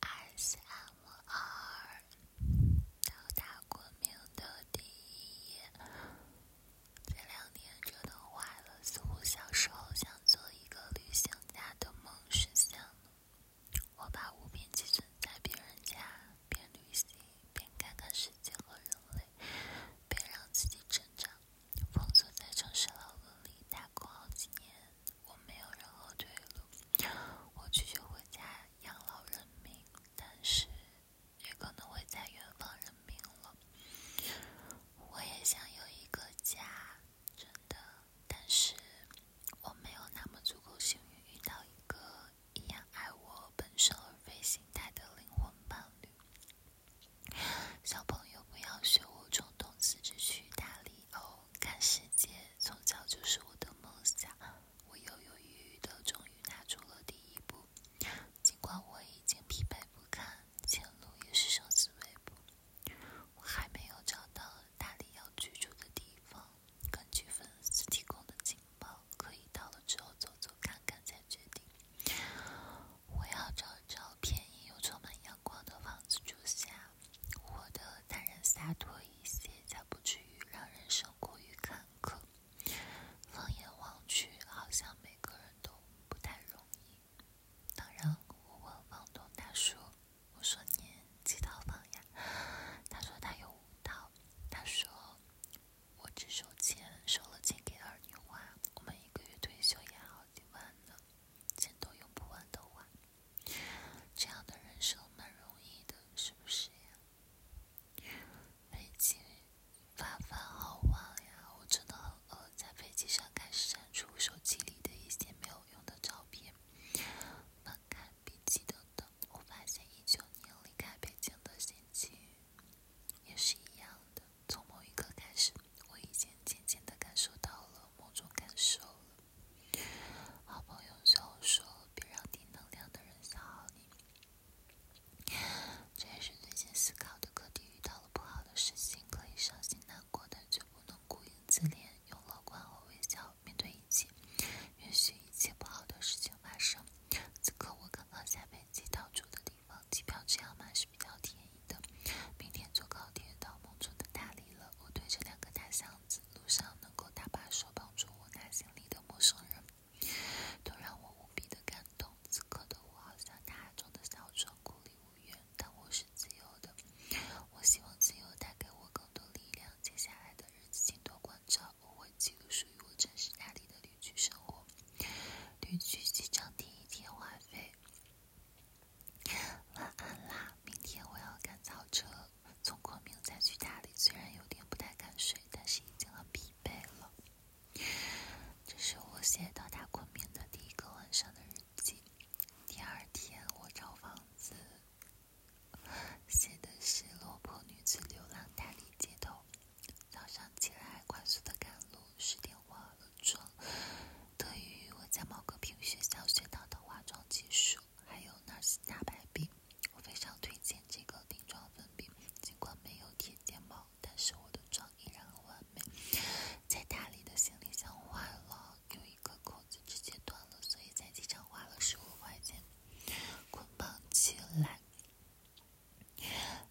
ASMR 到达昆明的第一夜，这两天折腾坏了，似乎小时候想做一个旅行家的梦实现了。我把物品寄存在别人家，边旅行边看看世界和人类，边让自己成长。封锁在城市牢笼里打工好几年，我没有任何退路。我拒绝回家养老人命，但是也可能会在远方认命了。我也想有一个家，真的，但是我没有那么足够幸运遇到一个一样爱我本身而非心态的灵魂伴侣。小朋友，不要学我冲动辞职去大理哦！看世界，从小就是我的梦想。我犹犹豫豫的，终于踏出了第一步。尽管我已经疲惫不堪，前路也是生死未卜。我还没有找到大理要居住的地方，根据粉丝提供的情报，可以到了之后走走看看再决定。我要找找便宜又充满阳光的房子住下，活得淡然洒脱一些，才不至于让人生过于坎坷。放眼望去，好像每个人都不太容易。当然，我问房东他说：‘我说您几套房呀？”他说：“他有五套。”他说。我只收钱，收了钱给儿女花。我们一个月退休也好几万呢，钱都用不完的话，这样的人生蛮容易的，是不是呀？飞机，发发好晚呀，我真的很饿。在飞机上开始删除手机里的一些没有用的照片、翻看笔记等等。我发现一九年离开北京的心情也是一样的。从某一刻开始，我已经渐渐的感受到了某种感受好朋友对我说：“别让低能量的人消耗你。”这也是最近思考的课题。遇到了不好的事情，可以伤心难过，但绝不能顾影自怜，用乐观和微笑面对一切。允许一切不好的事情发生。此刻我刚刚下飞机到住的地方，机票这样买是比较便宜的。明天坐高铁到梦中的大理了。我推着两个大箱子，路上能够搭把手帮助我打行李的陌生人，都让我无比的感动。此刻的我好像大海中的小船，孤立无援，但我是自由的。我希望自由带给我更多力量。接下来的。日记镜头广照，我会记录属于我真实大理的旅居生活。旅居机场停一天话费。晚安啦，明天我要赶早车从昆明再去大理。虽然有点不太敢睡，但是已经很疲惫了。这是我写到达昆明的第一个晚上的日记。第二天我找房子。写的是落魄女子流浪大理街头。早上起来快速的赶路，十点化了妆，得益于我在某个培学校学到的化妆技术，还有 n a r 大白冰，我非常推荐这个定妆粉饼。尽管没有贴睫毛，但是我的妆依然很完美。在大理的行李箱坏了，有一。一个扣子直接断了，所以在机场花了十五块钱捆绑起来。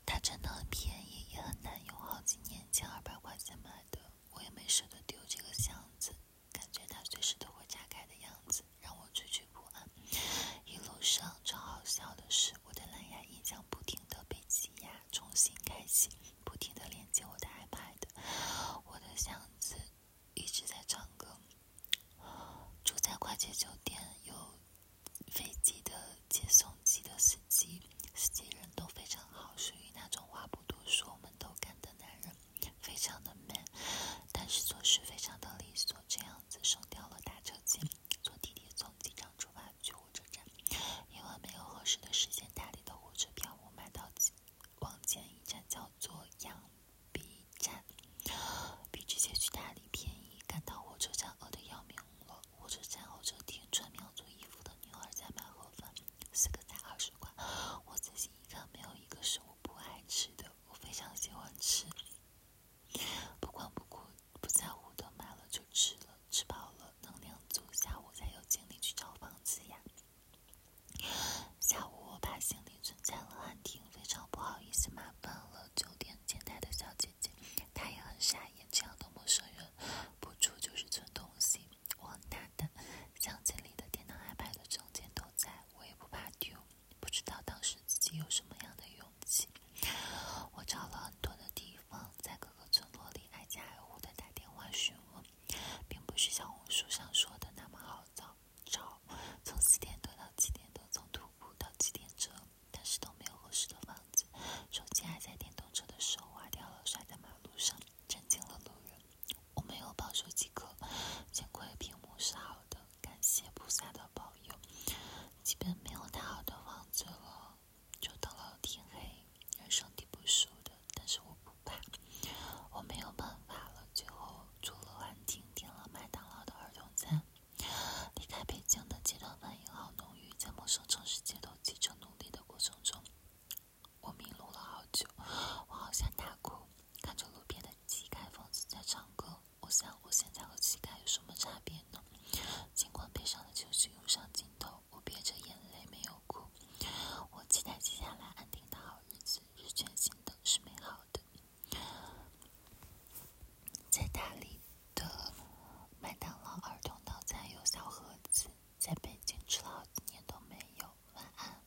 它真的很便宜，也很难用，好几年前二百块钱买的，我也没舍得丢这个箱子，感觉它随时都会炸开的样子让我惴惴不安。一路上，超好笑的是，我的蓝牙音响不停的被挤压，重新开启。不停的连接我的 iPad，我的箱子一直在唱歌。住在快捷酒店，有飞机的接送机的司机，司机人都非常好，属于那种话不多说，我们都干的男人，非常的 man，但是做事非常的利索，这样子省掉了打车钱。坐地铁从机场出发。去火车站，因为没有合适的时间，大理的火车票我买到往前一站，叫做漾濞站，比直接去大理便宜。赶到火车站，饿的要命了。火车站候车厅，穿苗族衣服的女孩在卖盒饭，四个菜二十块。我仔细一看，没有一个是我不爱吃的，我非常喜欢吃。不管不顾，不在乎的，买了就吃了。吃饱了，能量足，下午才有精力去找房子呀。下午我把行李存在了安庭，非常不好意思，麻烦了酒店前台的小姐姐，她也很傻眼，这样的陌生人，不住就是存东西。我很大胆，箱子里的电脑、iPad、证件都在，我也不怕丢。不知道当时自己有什么样的用。起，我找了很多的地方，在各个村落里挨家挨户的打电话询问，并不是小红书上说的那么好找。找从四点多到七点多，从徒步到骑电车，但是都没有合适的房子。手机还在电动车的时候划掉了，摔在马路上，震惊了路人。我没有报手机壳，幸亏屏幕是好的。感谢菩萨的保佑，基本没有太好的房子了，就到了天黑，人生地不熟的，但是我不怕，我没有办法了，最后住了安亭，点了麦当劳的儿童餐。离开北京的街道反应好浓郁，在陌生城市街头几程努力的过程中，我迷路了好久，我好想大哭。看着路边的乞丐，疯子在唱歌。我想，我现在和乞丐有什么差别呢？尽管悲伤的情绪涌上心头，我憋着眼泪没有哭。我期待接下来安定的好日子，是全新的，是美好的。在大理的麦当劳儿童套餐有小盒子，在北京吃了好几年都没有。晚安。